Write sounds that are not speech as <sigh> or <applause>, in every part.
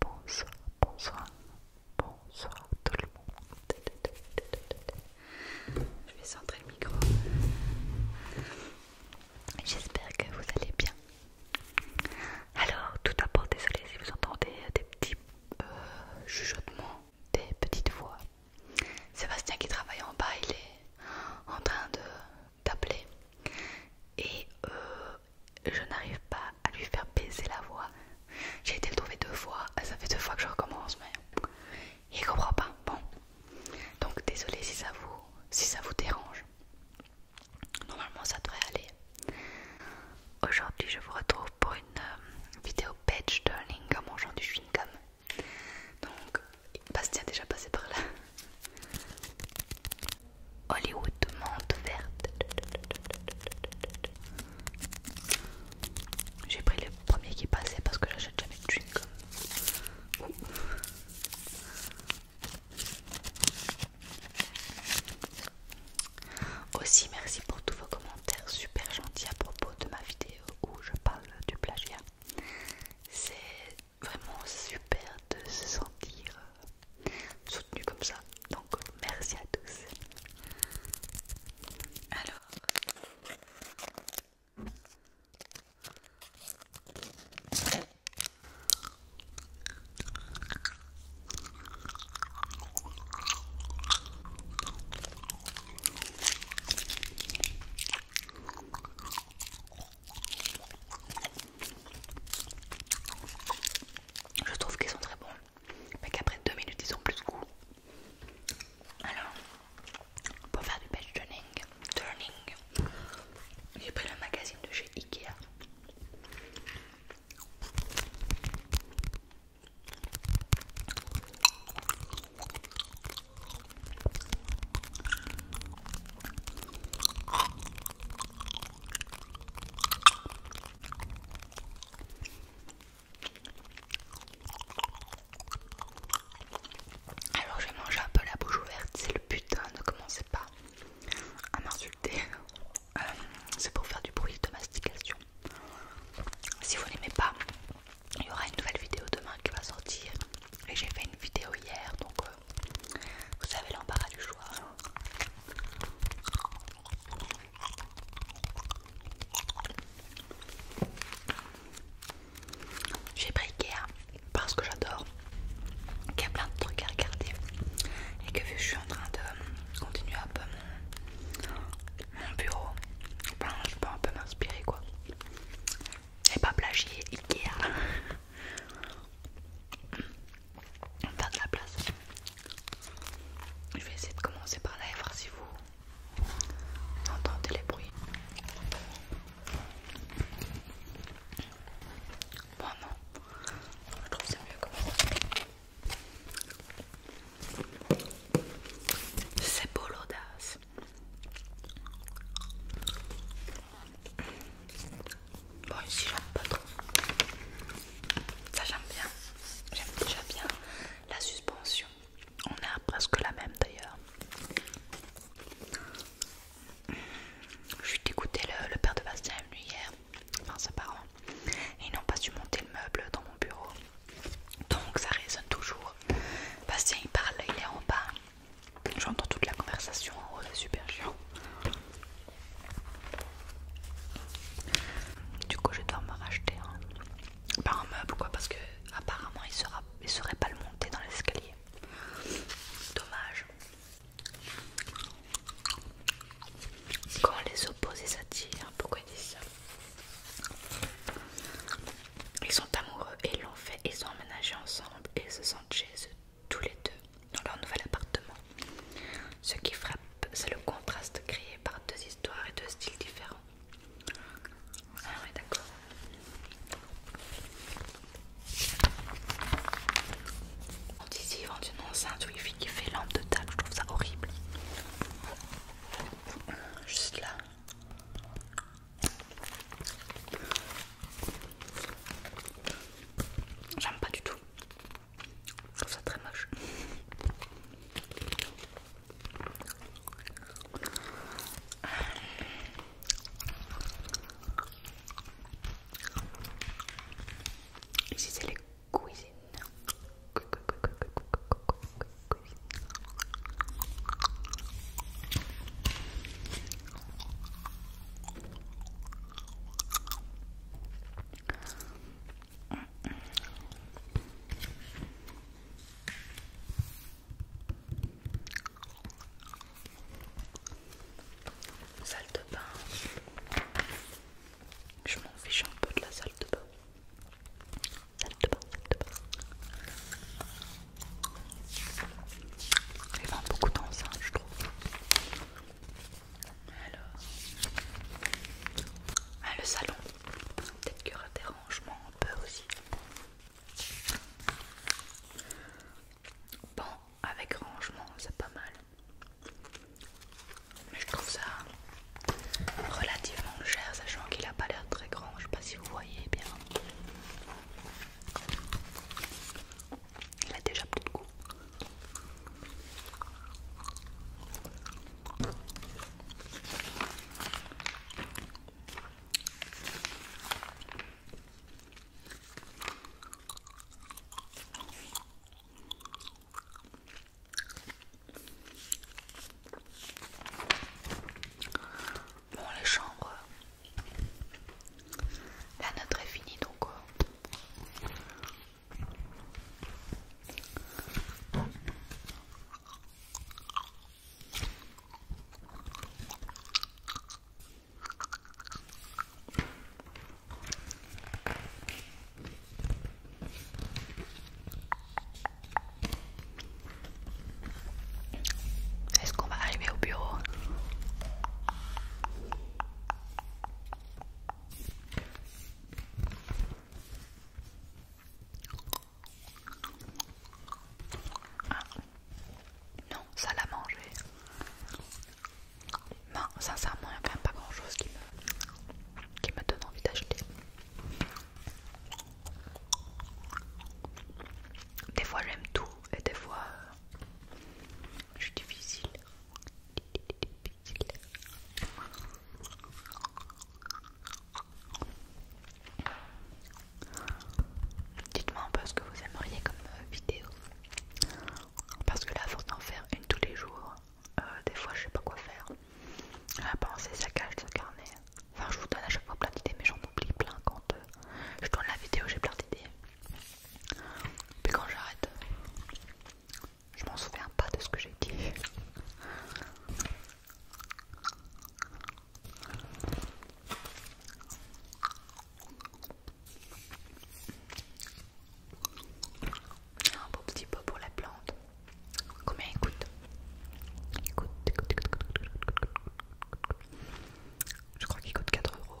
Bonsoir, bonsoir, bonsoir tout le monde. Je vais centrer le micro. J'espère que vous allez bien. Alors, tout d'abord, désolé si vous entendez des petits euh, chuchotements, des petites voix. Sébastien qui travaille en bas, il est en train de d'appeler et euh, je n'arrive pas à lui faire baisser la voix. J'ai été le trouver deux fois, ah, ça fait deux fois que je recommence, mais il comprend pas. Bon, donc désolé si ça vous, si ça vous dérange. Normalement, ça devrait aller. Aujourd'hui, je vous retrouve pour une euh, vidéo page turning mon mangeant du chewing-gum. Donc, Bastien déjà passé par là. Hollywood Monde, verte. J'ai pris le premier qui passait parce que j'achète jamais de chewing Aussi merci pour tous vos commentaires super gentils à propos de ma vidéo où je parle du plagiat. C'est vraiment super de se sentir euh, soutenu comme ça. Donc merci à tous. Alors je trouve qu'ils sont très bons, mais qu'après 2 minutes ils ont plus de goût. Alors, pour faire du page turning j'ai pris le magazine de chez Ikea. Alors je vais manger un peu la bouche ouverte, c'est le but, ne commencez pas à m'insulter. Euh, c'est pour faire du bruit de mastication. Si vous n'aimez pas, il y aura une nouvelle vidéo demain qui va sortir. Et j'ai fait une vidéo hier, donc euh, vous savez, l'embarras du choix. J'ai pris Ikea parce que j'adore qu'il y a plein de trucs à regarder et que vu que je suis en train de continuer un peu mon, bureau, je peux un peu m'inspirer quoi. Et pas plagier Ikea. <laughs> faire de la place. Je vais essayer de commencer par là et voir si vous entendez les bruits. Bon non, je trouve c'est mieux comme ça. C'est beau l'audace. Bon, ici j'aime pas trop. Ça j'aime bien. J'aime déjà bien la suspension. On a presque la même d'ailleurs. Je suis dégoûtée, le, père de Bastien est venu hier, enfin ses parents, et ils n'ont pas su monter le meuble dans mon bureau. Donc ça résonne toujours. Bastien il parle, il est en bas. J'entends toute la conversation en haut, c'est super chiant. Du coup, je dois me racheter un, un meuble quoi, parce que apparemment il sera, serait pas le monter dans l'escalier. Dommage. Quand les opposés s'attirent, pourquoi ils disent ça Ils sont amoureux et ils l'ont fait, ils ont emménagé ensemble et ils se sentent chez eux tous les deux dans leur nouvel appartement. Ce qui frappe, c'est le contraste créé par deux histoires et deux styles différents. Ah ouais d'accord. On dit ici, ils vendent une enceinte qui fait lampe de table, je trouve ça horrible. Juste là. J'aime pas du tout. Je ça très moche. Ici c'est les cuisines. Salle de bain. Je m'en fiche un peu de la salle de bain. Salle de bain, salle de bain. Il y beaucoup je trouve. Alors, ah, le salon, peut-être qu'il y aura des rangements un peu aussi. Bon, avec rangement, c'est pas mal. Mais je trouve ça relativement cher, sachant qu'il a pas l'air très grand. Je sais pas si vous voyez bien. Il a déjà plus de goût. Bon, les chambres, la note est finie donc. Euh. Est-ce qu'on va arriver au bureau ah, non, ça l'a mangé. Non, sincèrement, il n'y a quand même pas grand chose qui me, qui donne envie d'acheter. Des fois j'aime tout et des fois euh, je suis difficile. Dites-moi un peu ce que vous aimeriez comme euh, vidéo. Parce que là, à force d'en faire une tous les jours, euh, des fois je sais pas quoi faire. La pensée, ça cache, ce carnet. Enfin, je vous donne à chaque fois plein d'idées, mais j'en oublie plein quand euh, je tourne la vidéo, j'ai plein d'idées. Puis quand j'arrête, je m'en souviens pas de ce que j'ai dit. Un beau petit pot pour la plante. Combien il coûte Écoute, écoute, Je crois qu'il coûte 4 euros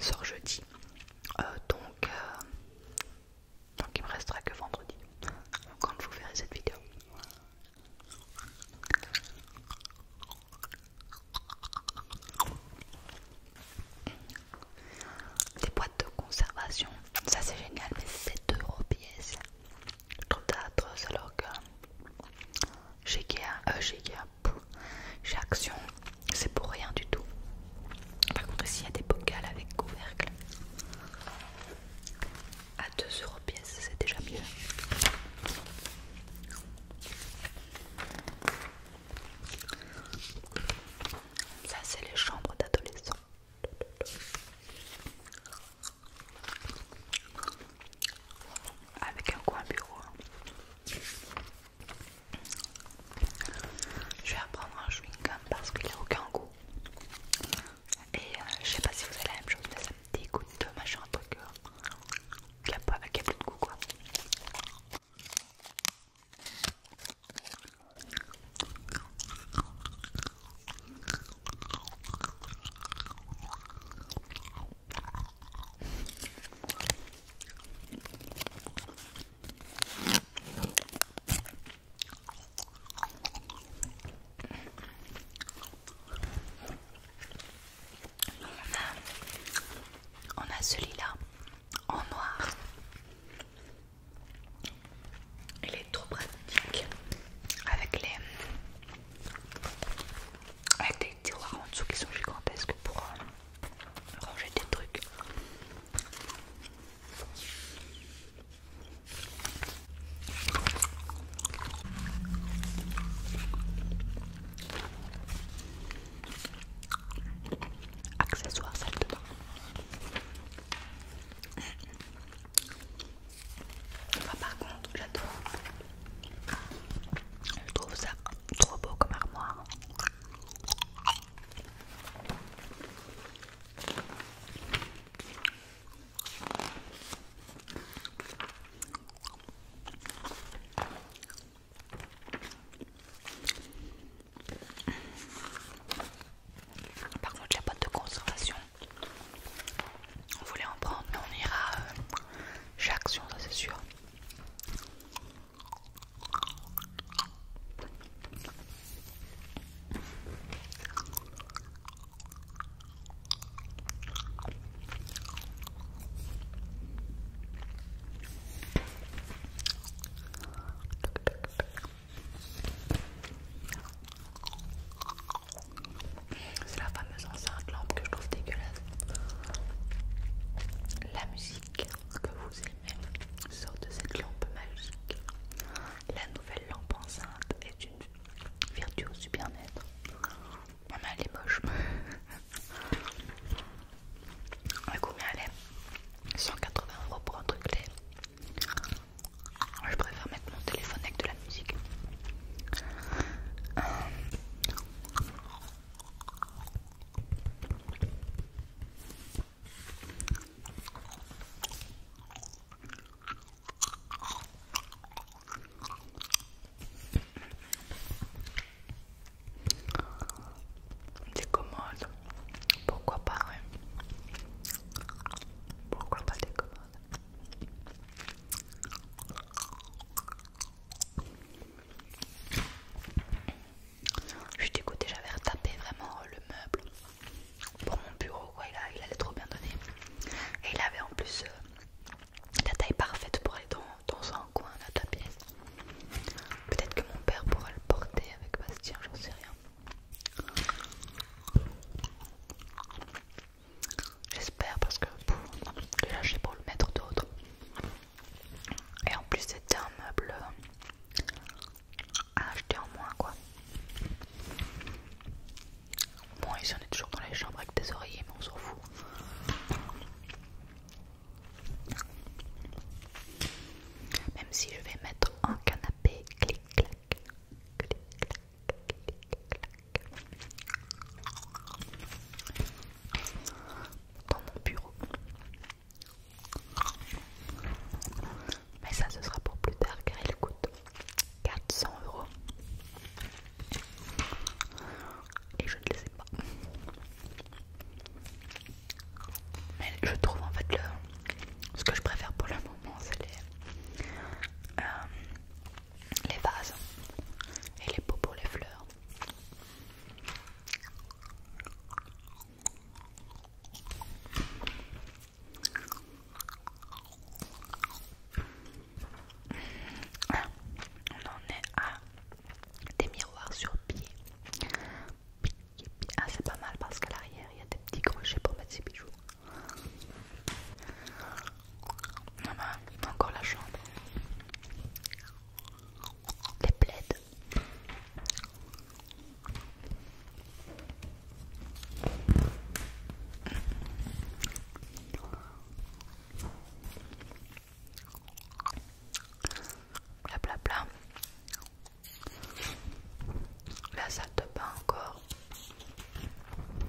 Sors jeudi. Euh, donc, euh, donc il me restera que vendredi quand vous verrez cette vidéo. Des boîtes de conservation, ça c'est génial, mais c'est euros pièce. Je trouve ça atroce alors que chez Ikea, euh, j'ai Action, c'est pour rien du tout. Par contre, ici, il y a des bocals avec couvercle. À 2 euros pièce, c'est déjà mieux. Ça, c'est les chambres d'adolescents. Avec un coin bureau. Je vais apprendre un chewing-gum parce qu'il n'a aucun goût. Et euh, je sais pas si vous avez la même chose, mais ça me dégoûte de machin, un truc la euh, a, avec un peu de goût quoi. On a, celui-là en noir. Il est trop pratique avec les des tiroirs en dessous qui sont gigantesques pour euh, ranger des trucs. Accessoires salle de bain. par contre, j'adore. Je trouve ça trop beau comme armoire. Par contre, a pas de conservation, on voulait en prendre, mais on ira euh, chez Action, ça c'est sûr. C'est la fameuse enceinte lampe que je trouve dégueulasse. La musique que vous Sorte de cette lampe magique. La nouvelle lampe enceinte est une vertu du bien-être. Maman, elle est moche. <laughs> combien elle est 180 euros pour un truc là Je préfère mettre mon téléphone avec de la musique. Des commandes. Pourquoi pas, oui. Pourquoi pas des commodes je suis dégoûtée, j'avais retapé vraiment le meuble pour mon bureau, Il, allait trop bien donner. Et il avait en plus euh, la taille parfaite pour aller dans, dans un coin, de ta pièce. Peut-être que mon père pourra le porter avec Bastien, j'en sais rien. J'espère parce que là déjà je le mettre d'autre. Et en plus, c'était un meuble à acheter en moins, quoi. moins ici, on est toujours dans les chambres avec des oreillers, mais on s'en fout. Même si je vais mettre un canapé clic-clac, clic-clac, clic-clac, dans mon bureau. Mais ça, ce sera pour plus tard car il coûte 400 euros. Et je ne les ai pas. Mais je trouve en fait le, ce que je préfère pour le moment, c'est les, euh, les vases et les pots pour les fleurs on en est à des miroirs sur pied. Ah, c'est pas mal parce qu'à l'arrière il y a des petits crochets pour mettre ses bijoux. Ah bah, encore la chambre. Les plaids Bla bla bla. La salle de bain encore.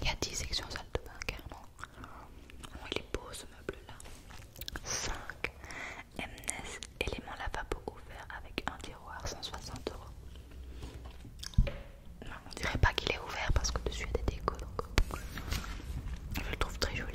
Il y a 10 sections salle de bain carrément. Oh, il est beau ce meuble là. 5. MNES Élément lavabo ouvert avec un tiroir 160 euros. Non, on dirait pas qu'il est ouvert parce que dessus il y a des décos. Je le trouve très joli.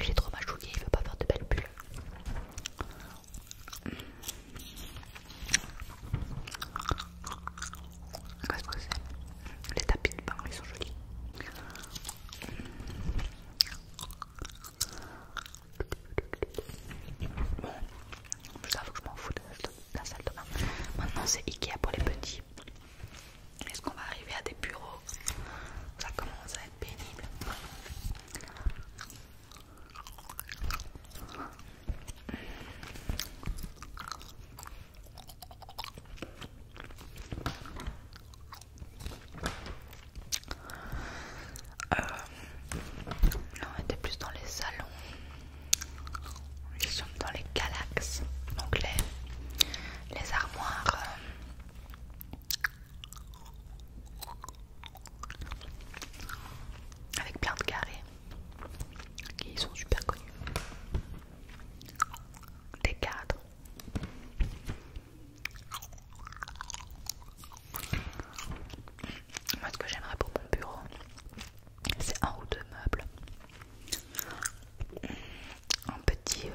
J'ai trop machouillé, il veut pas faire de belles bulles. Qu'est-ce que c'est Les tapis de ils sont jolis. Bon, je faut que je m'en fous de la salle de bain. Maintenant, c'est Ikea pour les petits. Est-ce qu'on va arriver à des bureaux Ça commence à pénible. Euh, on était plus dans les salons, nous sommes dans les galaxes, donc les, armoires euh, avec plein de carrés qui sont super connus des cadres moi ce que j'aimerais pour mon bureau c'est un ou deux meubles un petit euh,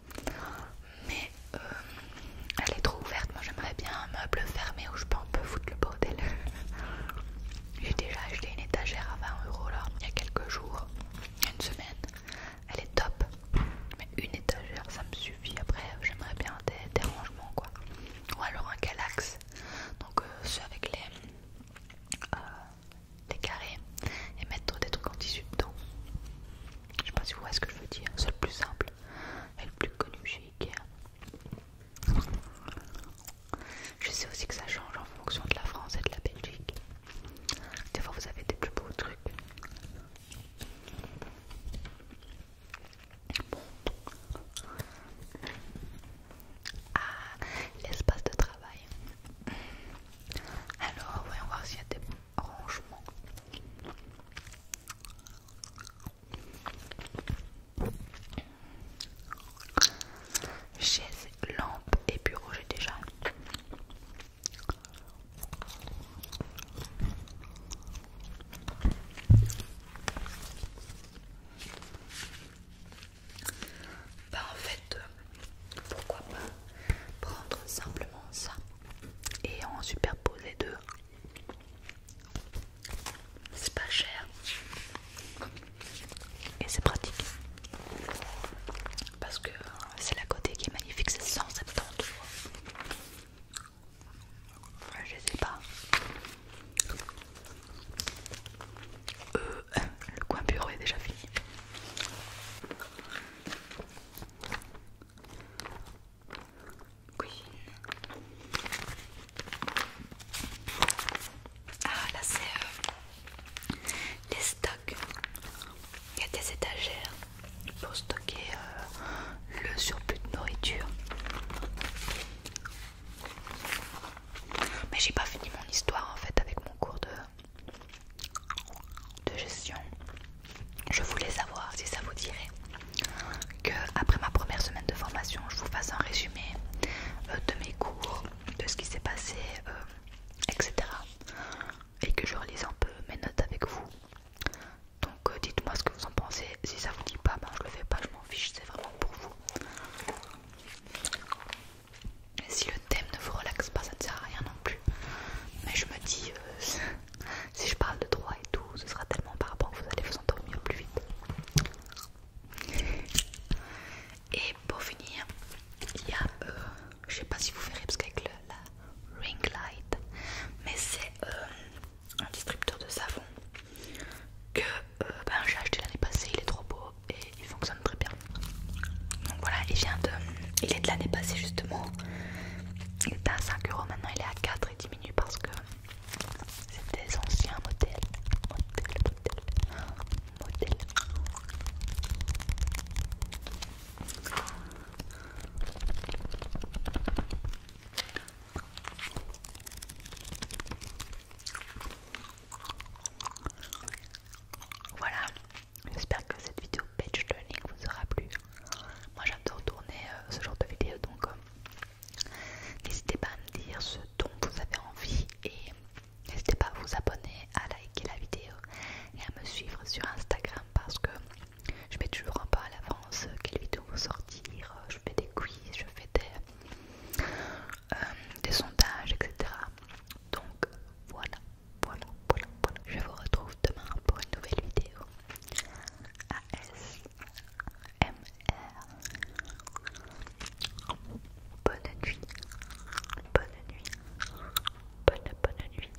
mais euh, elle est trop ouverte. Moi j'aimerais bien un meuble fermé où je peux un peu foutre le bordel. <laughs> J'ai déjà acheté une étagère à 20 euros là il y a quelques jours, une semaine. Elle est top, mais une étagère ça me suffit. Après, j'aimerais bien des, rangements quoi, ou alors un galax. Donc, euh, ceux avec les, euh, les carrés et mettre des trucs en tissu dedans. Je sais pas si vous voyez ce que je veux dire. C'est le plus simple et le plus connu chez Ikea. Je sais aussi que ça change en fonction de la France et de la Belgique. Des fois, vous avez des plus beaux trucs. Ah, l'espace de travail. Alors, voyons voir s'il y a des rangement. Chaise, lampe et bureau, j'ai déjà. Bah en fait, euh, pourquoi pas prendre simplement ça et en superposer deux. C'est pas cher et c'est pratique parce que c'est la côté qui est magnifique, c'est 170 euros. Je sais pas. Euh, <laughs> le coin bureau est déjà fini. Ah là c'est les euh, stocks. Il y a des étagères pour stocker euh, le surplus de nourriture. Mais j'ai pas fini mon histoire en fait avec mon cours de gestion je voulais savoir si ça vous dirait que après ma première semaine de formation, je vous fasse un résumé euh, de mes cours, de ce qui s'est passé, euh, etc. Et que je relise un peu mes notes avec vous. Donc euh, dites-moi ce que vous en pensez. Si ça vous dit pas, ben, je le fais pas, je m'en fiche, c'est vraiment pour vous. si le thème ne vous relaxe pas, ça ne sert à rien non plus. Mais je me dis, <laughs> Si je parle de droit et tout, ce sera tellement par rapport que vous allez vous endormir plus vite. Et pour finir, il y a, euh, je sais pas si vous verrez parce qu'avec la ring light, mais c'est euh, un distributeur de savon que euh, ben, j'ai acheté l'année passée, il est trop beau et il fonctionne très bien. Donc voilà, il vient de, il est de l'année passée justement il est à 5 euros, maintenant il est à 4 et diminue parce que c'est des anciens modèles. Modèles, modèles, Voilà, j'espère que cette vidéo page learning vous aura plu. Moi j'adore tourner euh, ce genre de vidéos donc euh, n'hésitez pas à me dire ce dont vous avez envie et n'hésitez pas à vous abonner, à liker la vidéo et à me suivre sur Instagram parce que je mets toujours un peu à l'avance euh, quelle vidéos vont sortir, je fais des quiz, je fais des, des sondages, etc. Donc voilà, voilà, voilà, voilà. Je vous retrouve demain pour une nouvelle vidéo. A-S-M-R Bonne nuit, bonne nuit, bonne bonne nuit.